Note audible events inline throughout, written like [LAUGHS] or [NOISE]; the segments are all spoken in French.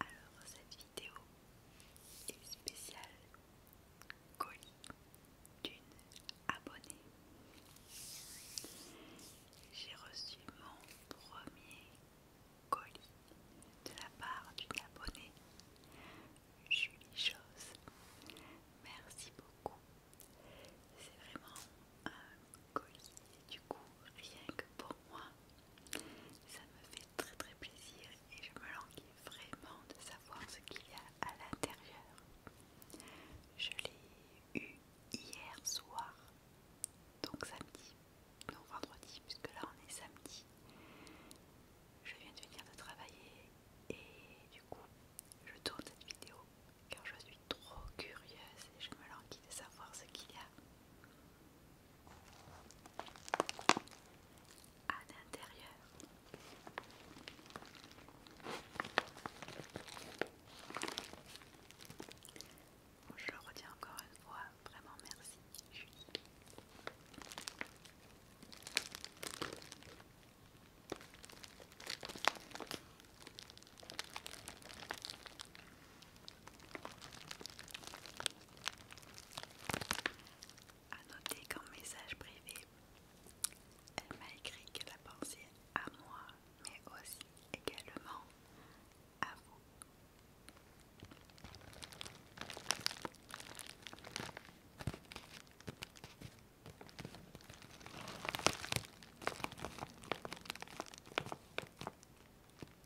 Alors cette vidéo est spéciale colis d'une abonnée. J'ai reçu mon premier colis de la part d'une abonnée, Julie Chose. Merci beaucoup. C'est vraiment un colis, du coup, rien que pour moi, ça me fait très très plaisir et je me languis vraiment de savoir ce qu'il y a à l'intérieur. Je l'ai eu hier soir, donc samedi, non vendredi, puisque là on est samedi. Je viens de venir de travailler et du coup je tourne cette vidéo car je suis trop curieuse et je me languis de savoir ce qu'il y a à l'intérieur. je retiens encore une fois, vraiment merci a noter qu'en message privé, elle m'a écrit qu'elle a pensé à moi, mais aussi également à vous. Alors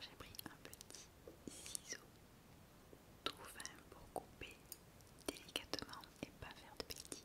j'ai pris un petit ciseau tout fin pour couper délicatement et pas faire de bêtises.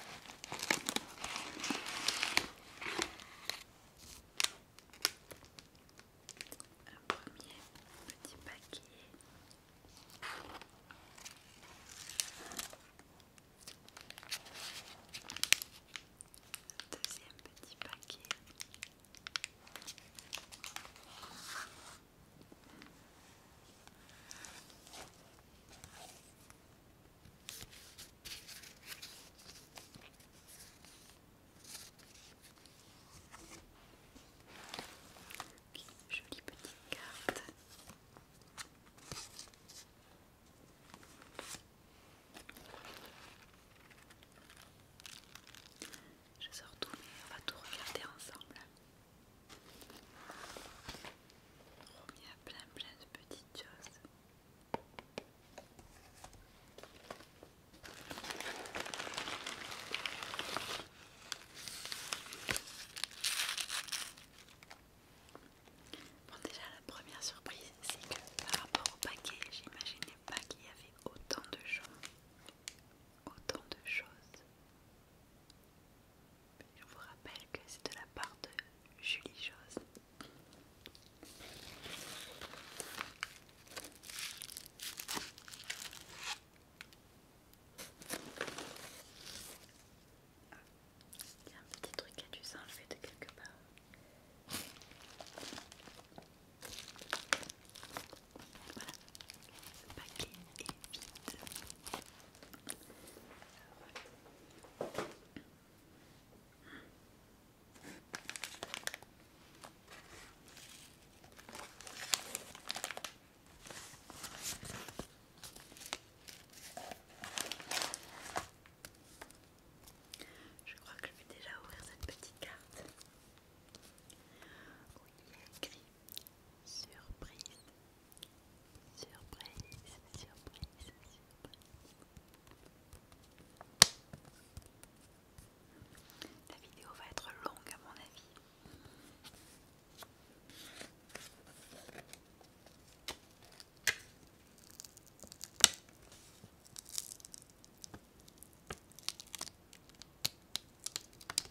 Un premier petit paquet. Deuxième petit paquet. Jolie petite carte. Je sors tout, mais on va tout regarder ensemble. Il y a plein plein de petites choses. Bon déjà la première surprise c'est que par rapport au paquet j'imaginais pas qu'il y avait autant de choses. Autant de choses. Je vous rappelle que c'est de la part de Julie Joss. Il y a un petit truc qui a dû s'enlever de quelque part. Voilà, ce paquet je crois que je vais déjà ouvrir cette petite carte où il y a écrit Surprise Surprise, surprise, surprise. La vidéo va être longue à mon avis.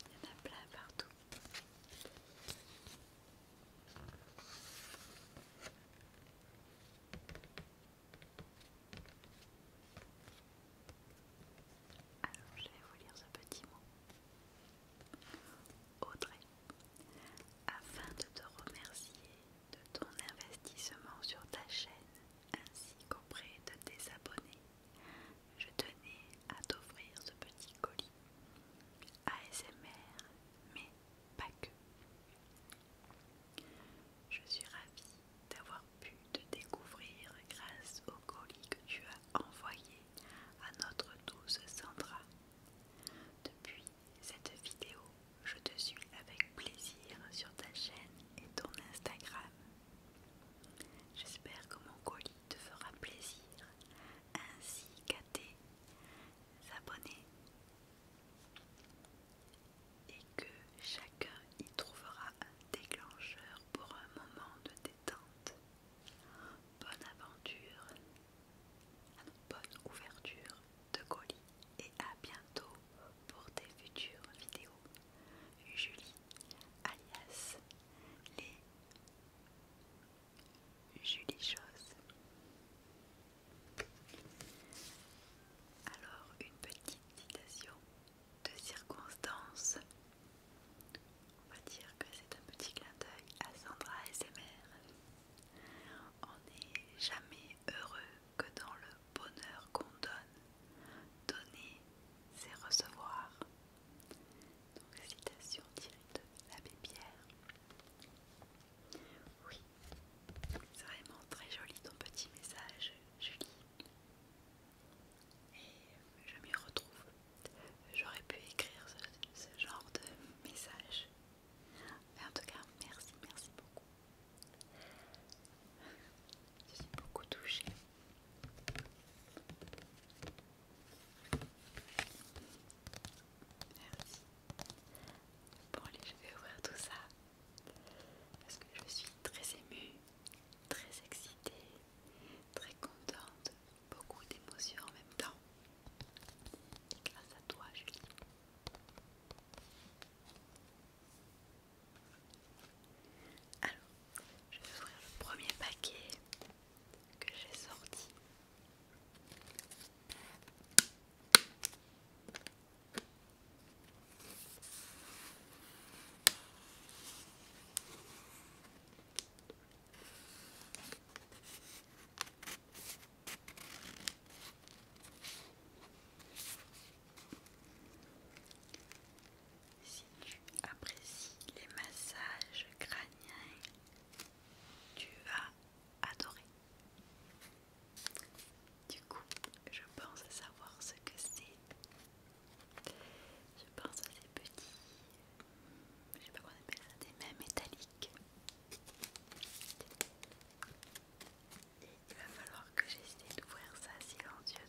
il y en a plein partout. Alors, je vais vous lire ce petit mot. Audrey, afin de te remercier de ton investissement sur ta chaîne ainsi qu'auprès de tes abonnés, je tenais à t'offrir ce petit colis ASMR, mais pas que. Je suis ravie d'avoir pu te découvrir grâce au colis que tu as envoyé à notre douce Sandra. Depuis cette vidéo, je te suis avec plaisir sur ta chaîne et ton Instagram. J'espère que mon colis te fera plaisir ainsi qu'à tes abonnés et que chacun y trouvera un déclencheur pour un moment de détente. Bonne aventure, ah bonne ouverture de colis et à bientôt pour tes futures vidéos. Julie alias les Julie Chose. Alors une petite citation de circonstance. On va dire que c'est un petit clin d'œil à Sandra SMR. On n'est jamais heureux que dans le bonheur qu'on donne, donner, c'est recevoir. Donc, citation directe de l'abbé Pierre. Oui, c'est vraiment très joli ton petit message, Julie. Et je m'y retrouve. J'aurais pu écrire ce, genre de message. en tout cas, merci, merci beaucoup. Je suis beaucoup touchée. Merci. Bon allez, je vais ouvrir tout ça. Parce que je suis très émue, très excitée, très contente, beaucoup d'émotions en même temps. Grâce à toi, Julie. Alors, je vais ouvrir le premier paquet que j'ai sorti. Si tu apprécies les massages crâniens, tu vas adorer. Du coup, je pense savoir ce que c'est. Je pense à ces petits, je sais pas comment on appelle ça, des mains métalliques il va falloir que j'essaie d'ouvrir ça silencieusement.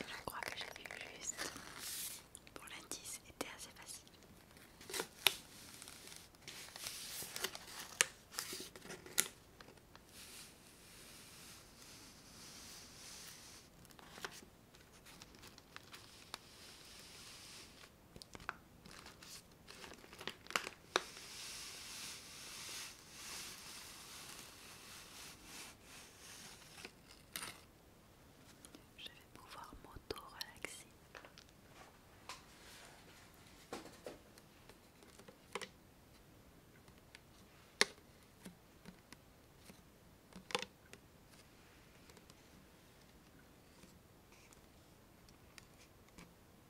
Je crois que j'ai vu juste. Pour l'indice, était assez facile. Je vais pouvoir m'auto-relaxer.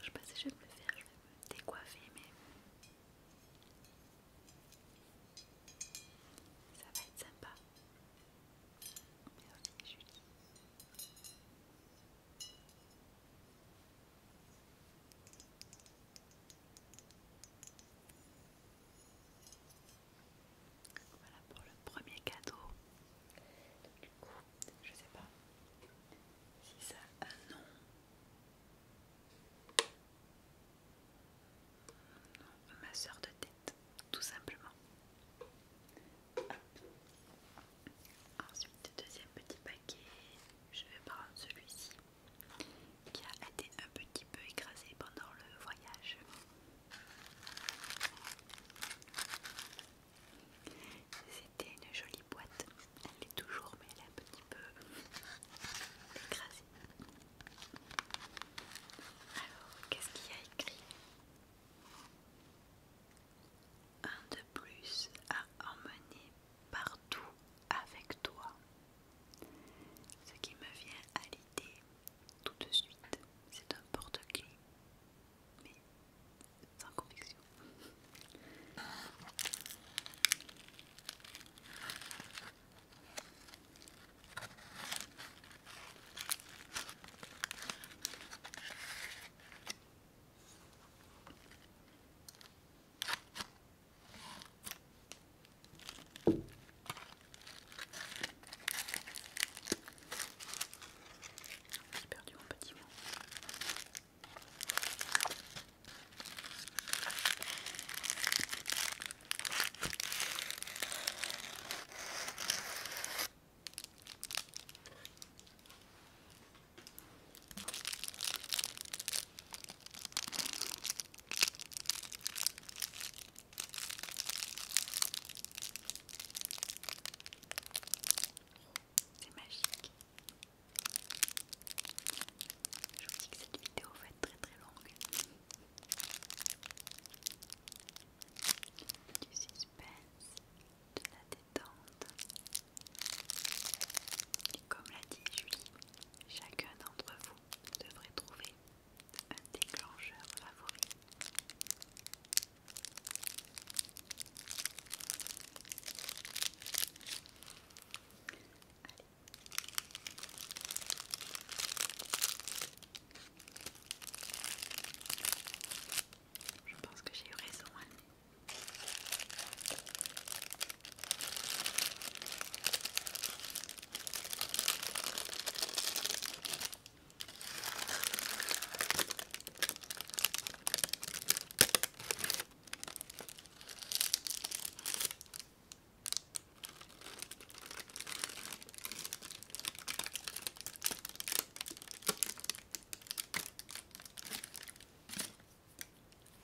Je je sais pas si je vais le faire, je vais me décoiffer, mais ça va être sympa. Voilà pour le premier cadeau. Du coup, je sais pas si ça a un nom. Non, ma soeur de tête, tout simplement. Ensuite, deuxième petit paquet, je vais prendre celui-ci qui a été un petit peu écrasé pendant le voyage. C'était une jolie boîte, elle est toujours, mais elle est un petit peu écrasée. Alors, qu'est-ce qu'il y a écrit un de plus à emmener partout avec toi. Ce qui me vient à l'idée tout de suite, c'est un porte clé mais sans conviction. J'ai perdu mon petit mot. C'est magique. Je vous dis que cette vidéo va être très très longue. Du suspense, la détente. comme l'a dit Julie, chacun d'entre vous devrait trouver un déclencheur favori. Je pense que j'ai eu raison.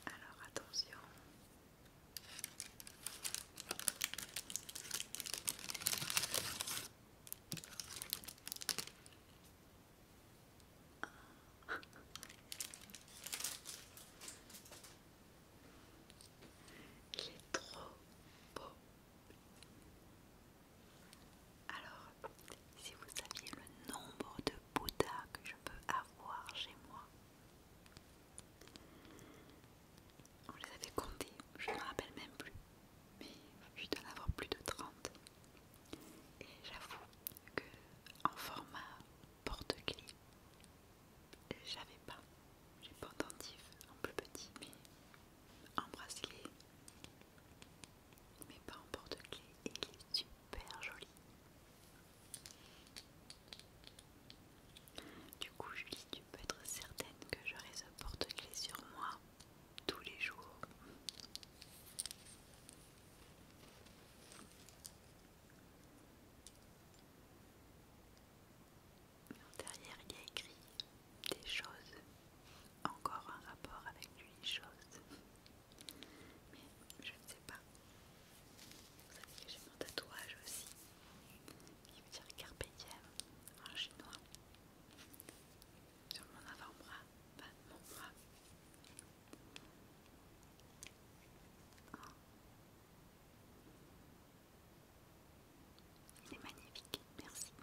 Alors attention. Il est trop beau. Alors, si vous saviez le nombre de Bouddhas que je peux avoir chez moi, on les avait comptés, je ne me rappelle même plus, mais je dois en avoir plus de 30. Et j'avoue que en format porte-clés, j'avais pas, j'ai pas en plus petit, mais en bracelet, mais pas en porte-clés et il est super joli. Du coup, Julie, tu peux être certaine que j'aurai ce porte-clés sur moi tous les jours. Derrière, il y a écrit des choses, encore un rapport avec lui, chose. Mais je ne sais pas. Vous savez que j'ai mon tatouage aussi, qui veut dire carpe diem en chinois, sur mon avant-bras, pas mon bras. c'est oh. Il est magnifique, merci.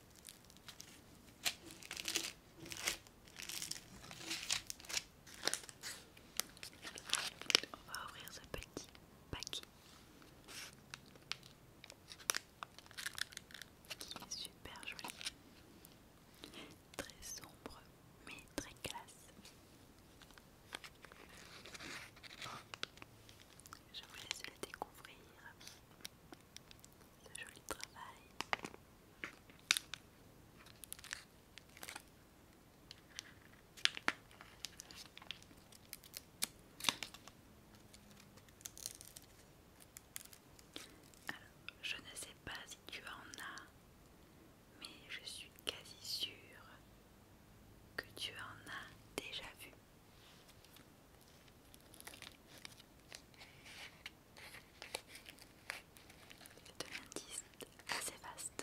On va ouvrir ce petit paquet qui est super joli, très sombre mais très classe. Je vous laisse le découvrir je ne sais pas si tu en as, mais je suis quasi sûre que tu en as déjà vu. Il devient un assez vaste.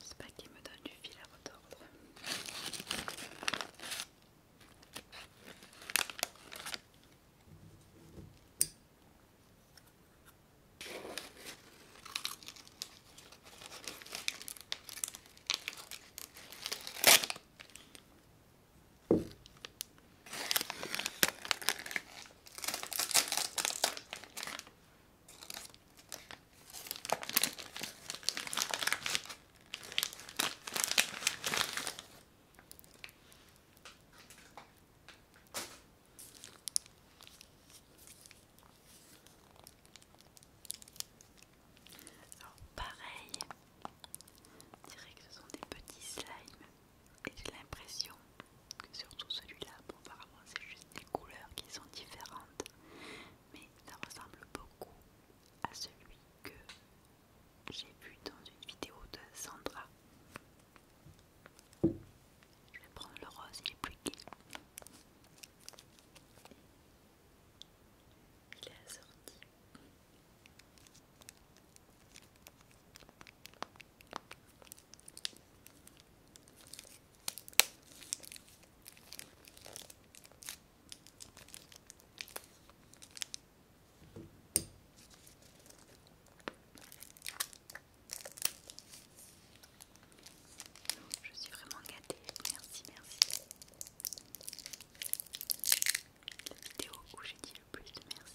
C'est pas qui me donne du fil à retordre. Alors pareil, on dirait que ce sont des petits slimes et j'ai l'impression surtout celui-là. apparemment, c'est juste des couleurs qui sont différentes, mais ça ressemble beaucoup à celui que j'ai vu dans une vidéo de Sandra. Je vais prendre le rose, qui est plus gai. Il est assorti. Je suis vraiment gâtée, merci, merci. La vidéo où j'ai dit le plus de merci.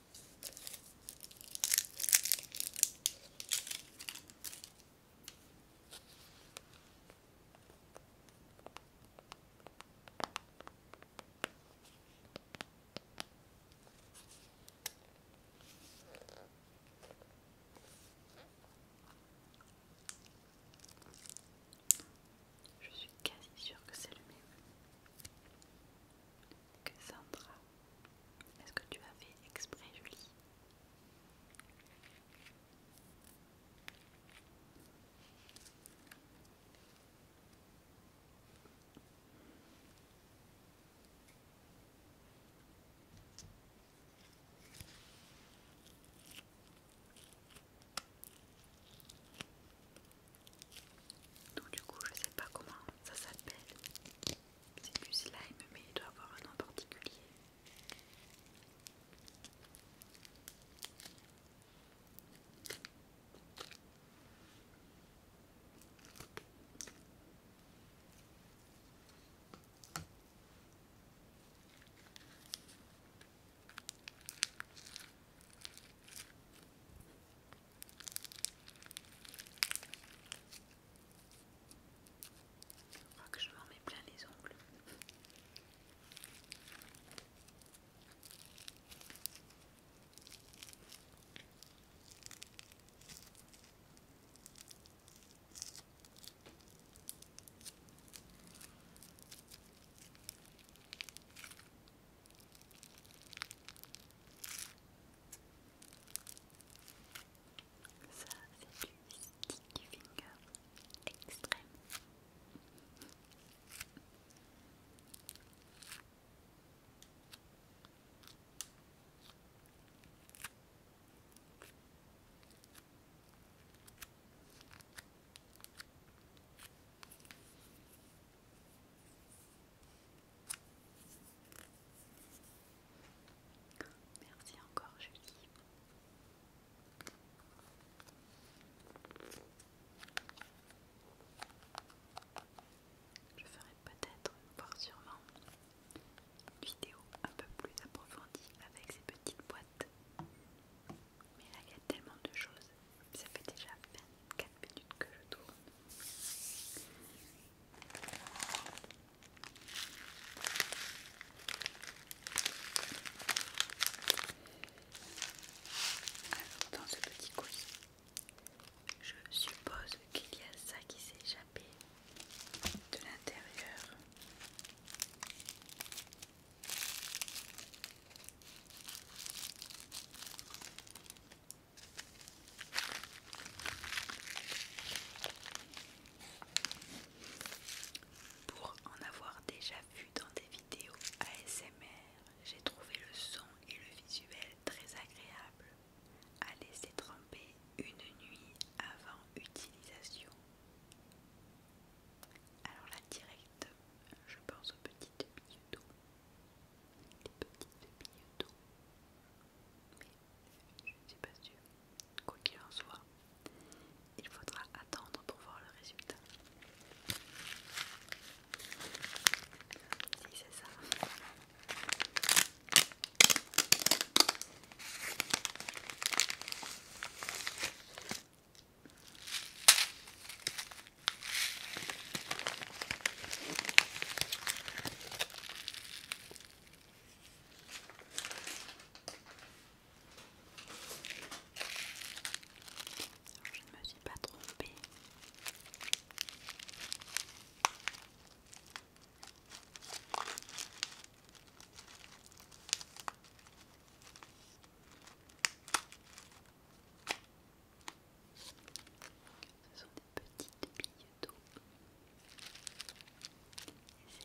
Je suis quasi sûr que c'est le même que Sandra est-ce que tu as fait exprès, Julie donc du coup je sais pas comment ça s'appelle c'est du slime, mais il doit avoir un nom particulier. Je que je m'en mets plein les ongles. Ça, c'est du sticky finger extrême. Merci encore, Julie. Je ferai peut-être, voire sûrement, une vidéo un peu plus approfondie avec ces petites boîtes. Mais là, il y a tellement de choses. Ça fait déjà 24 minutes que je tourne. Alors dans ce petit coussin, je suppose qu'il y a ça qui s'est échappé de l'intérieur. Pour en avoir déjà vu dans des vidéos ASMR, j'ai trouvé le son et le visuel très agréable à laisser tremper une nuit avant utilisation. Alors là direct, je pense aux petites billes d'eau. Les petites billes d'eau mais je ne suis pas sûre. Quoi qu'il en soit, il faudra attendre pour voir le résultat. Si c'est ça je ne me suis pas trompée. Ce sont des petites billes d'eau.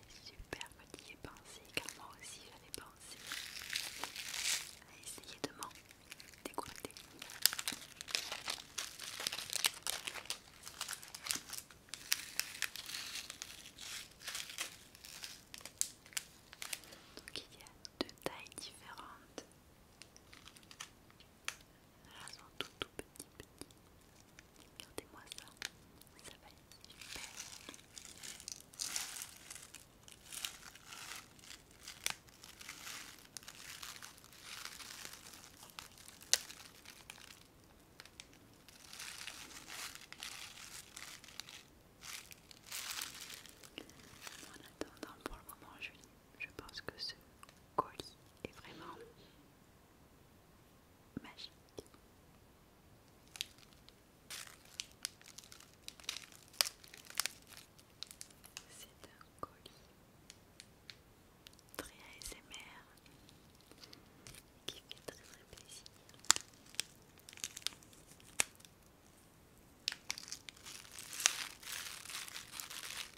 C'est super que tu y pensé, car moi aussi j'avais pensé à essayer de m'en dégoûter. Donc il y a deux tailles différentes. Voilà, sont tout tout petits, petits. Regardez-moi ça, ça va être super. En attendant, pour le moment, je vais je pense que ce colis est vraiment magique. C'est un colis très ASMR qui fait très très plaisir.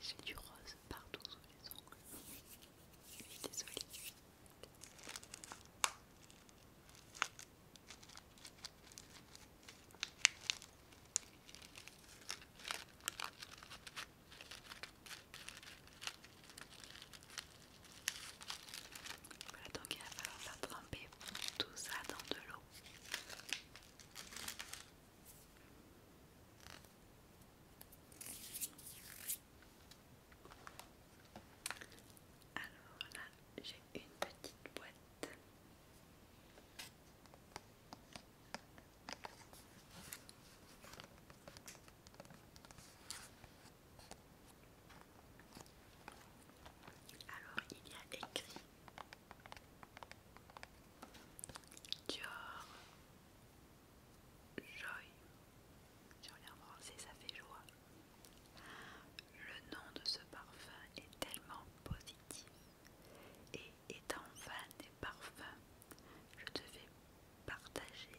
J'ai du rose partout sous les ongles. Je suis désolée. Voilà, donc il va falloir faire tremper tout ça dans de l'eau. Alors là, j'ai une petite boîte. Alors il y a écrit Dior Joy l'ai en français ça fait joie. Le nom de ce parfum est tellement positif et étant fan des parfums, je devais partager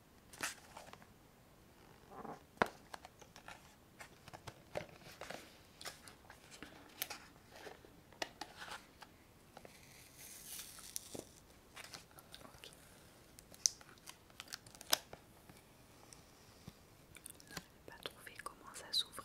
Je n'ai pas trouvé comment ça s'ouvrait.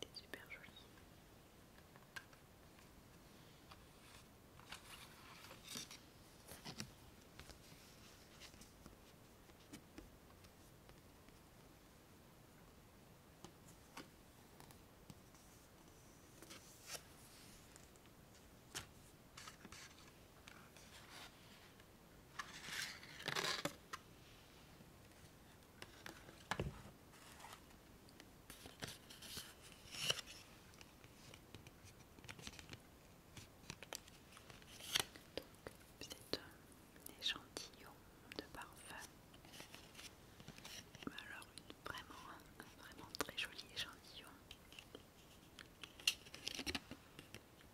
c'est super joli. C'est un échantillon de parfum. Alors vraiment, vraiment très joli échantillon. Je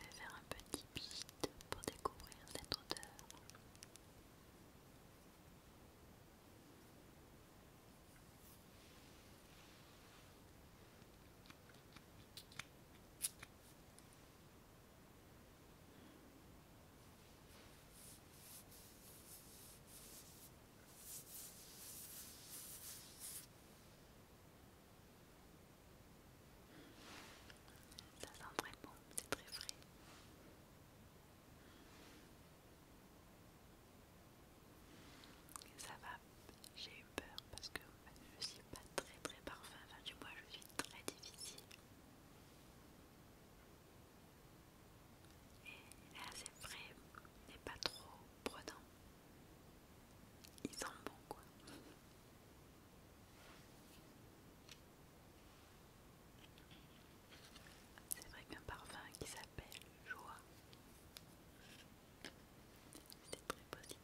vais faire un petit piste pour découvrir cette odeur. Ça sent très bon, c'est très frais. ça va, j'ai eu peur parce que je ne suis pas très très parfum, enfin du moins je suis très difficile. Et là c'est vrai, n'est pas trop prenant. Ils sent bon quoi. C'est vrai qu'un parfum qui s'appelle Joie, c'est très positif.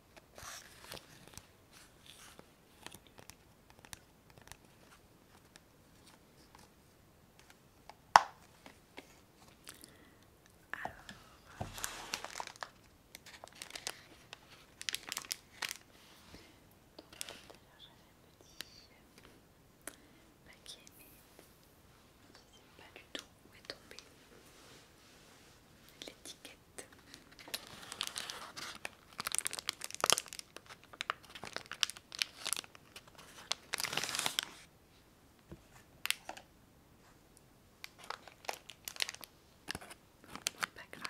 Alors, tout à j'avais un petit paquet mais je ne pas du tout où est tombée l'étiquette pas grave.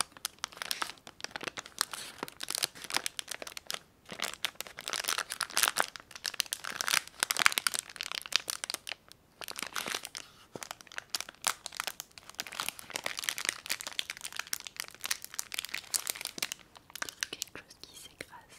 Quelque chose qui s'écrase.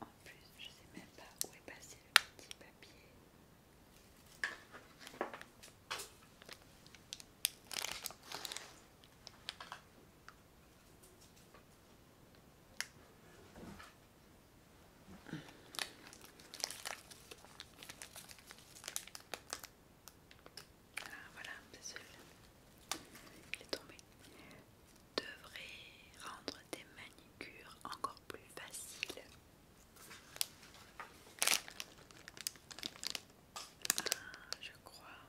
En plus, je sais même pas où est passé le petit papier. Ah, voilà, c'est celui Il est tombé. Devrait rendre des manicures encore plus faciles. Ah, je crois.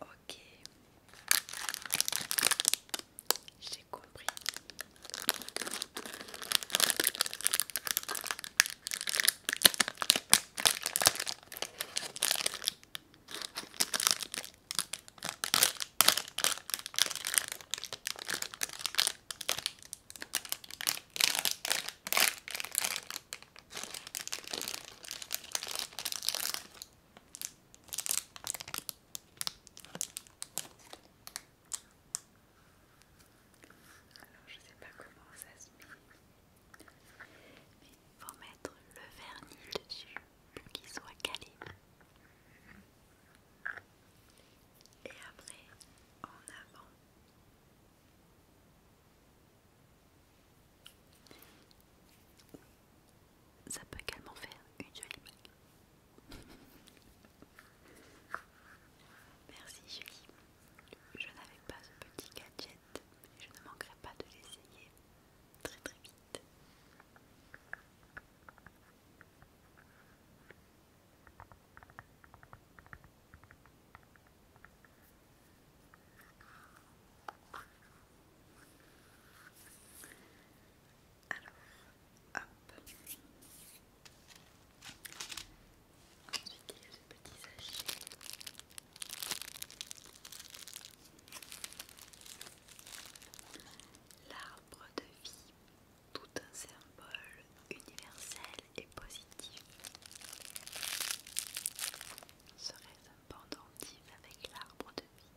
Ok. J'ai compris. Alors je sais pas comment ça se met il faut mettre le vernis dessus pour qu'il soit calé. Et après, en avant. Ça peut également faire une jolie bague. [LAUGHS] Merci Julie. Je n'avais pas ce petit gadget je ne manquerai pas de l'essayer très très vite. Alors, hop. Ensuite, il y a ce petit sachet L'arbre de vie, tout un symbole universel et positif. Serait un pendentif avec l'arbre de vie.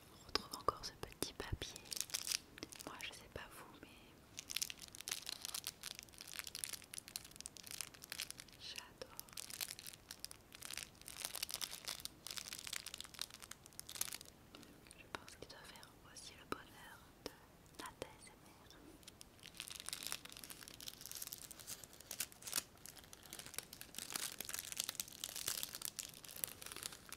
On retrouve encore ce petit papier. Moi, je sais pas vous, mais j'adore. Je pense qu'il doit faire aussi le bonheur de ta SMR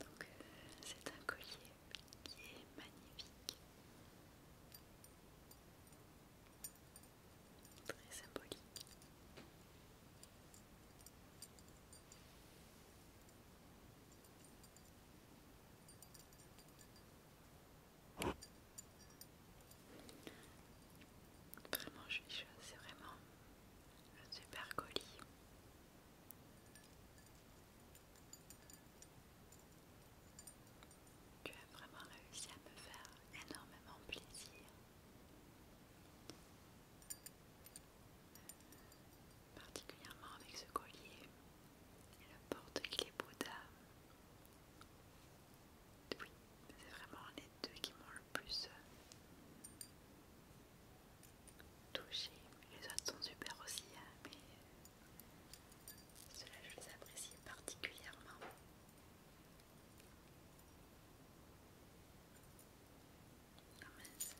Donc euh, c'est un collier qui est magnifique, très symbolique. Vraiment, je suis c'est vraiment un super colis. Tu as vraiment réussi à me faire énormément plaisir. Particulièrement avec ce collier et le porte clé Bouddha. Oui, c'est vraiment les deux qui m'ont le plus euh, touché. Les autres sont super aussi, hein, mais euh, ceux-là je les apprécie particulièrement. Ah mince,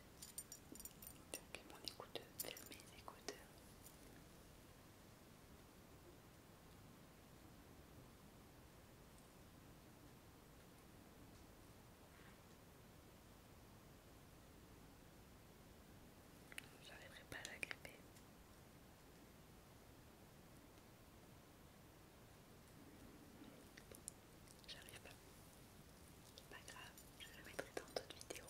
donc mon écouteur, mes écouteurs. J'arriverai pas à la gripper. J'arrive pas. C'est pas grave, je le mettrai dans d'autres vidéos.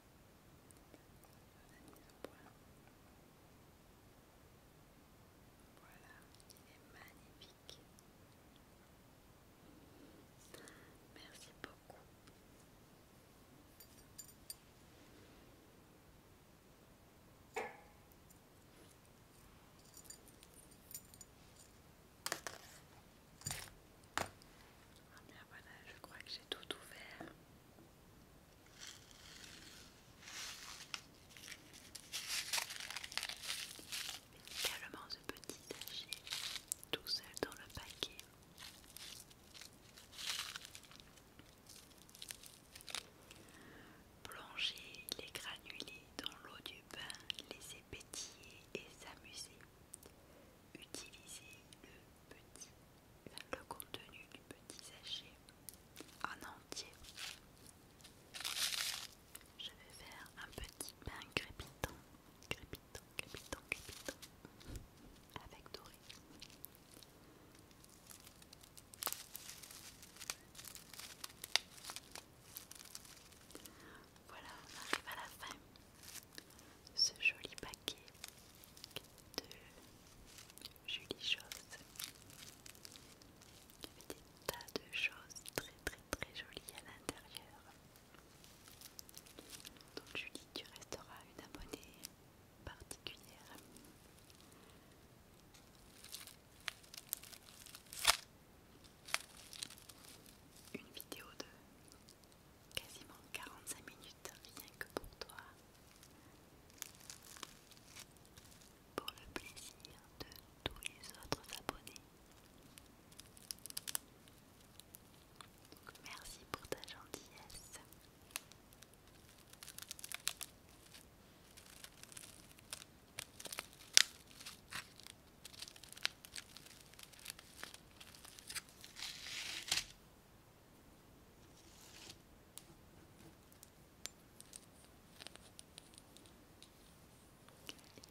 Voilà, il est magnifique. Merci beaucoup. voilà, je crois que j'ai tout ouvert. Également ce petit sachet tout seul dans le paquet. Plongez les granulés dans l'eau du bain, les pétiller et s'amuser. utiliser le petit, le contenu du petit sachet en entier. Je vais faire un petit pain crépitant, crépitant, crépitant, avec doré. Voilà, on arrive à la fin. Ce joli paquet de Julie choses. qui des tas de choses très très très jolies à l'intérieur. Donc Julie, tu resteras une abonnée particulière. Une vidéo de quasiment 45 minutes rien que pour toi, pour le plaisir de tous les autres abonnés. merci pour ta gentillesse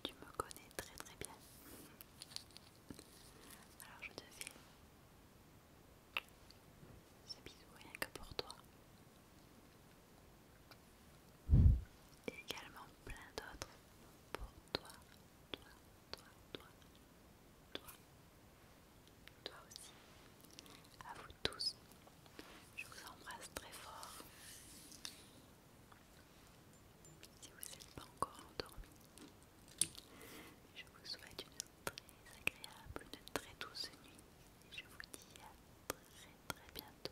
tu me connais très très bien. Alors je te fais ce bisous rien que pour toi. Et également plein d'autres pour toi, toi, toi, toi toi, toi aussi, à vous tous. Je vous embrasse très fort. Si vous n'êtes pas encore endormi, je vous souhaite une très agréable, une très douce nuit. Et je vous dis à très très bientôt.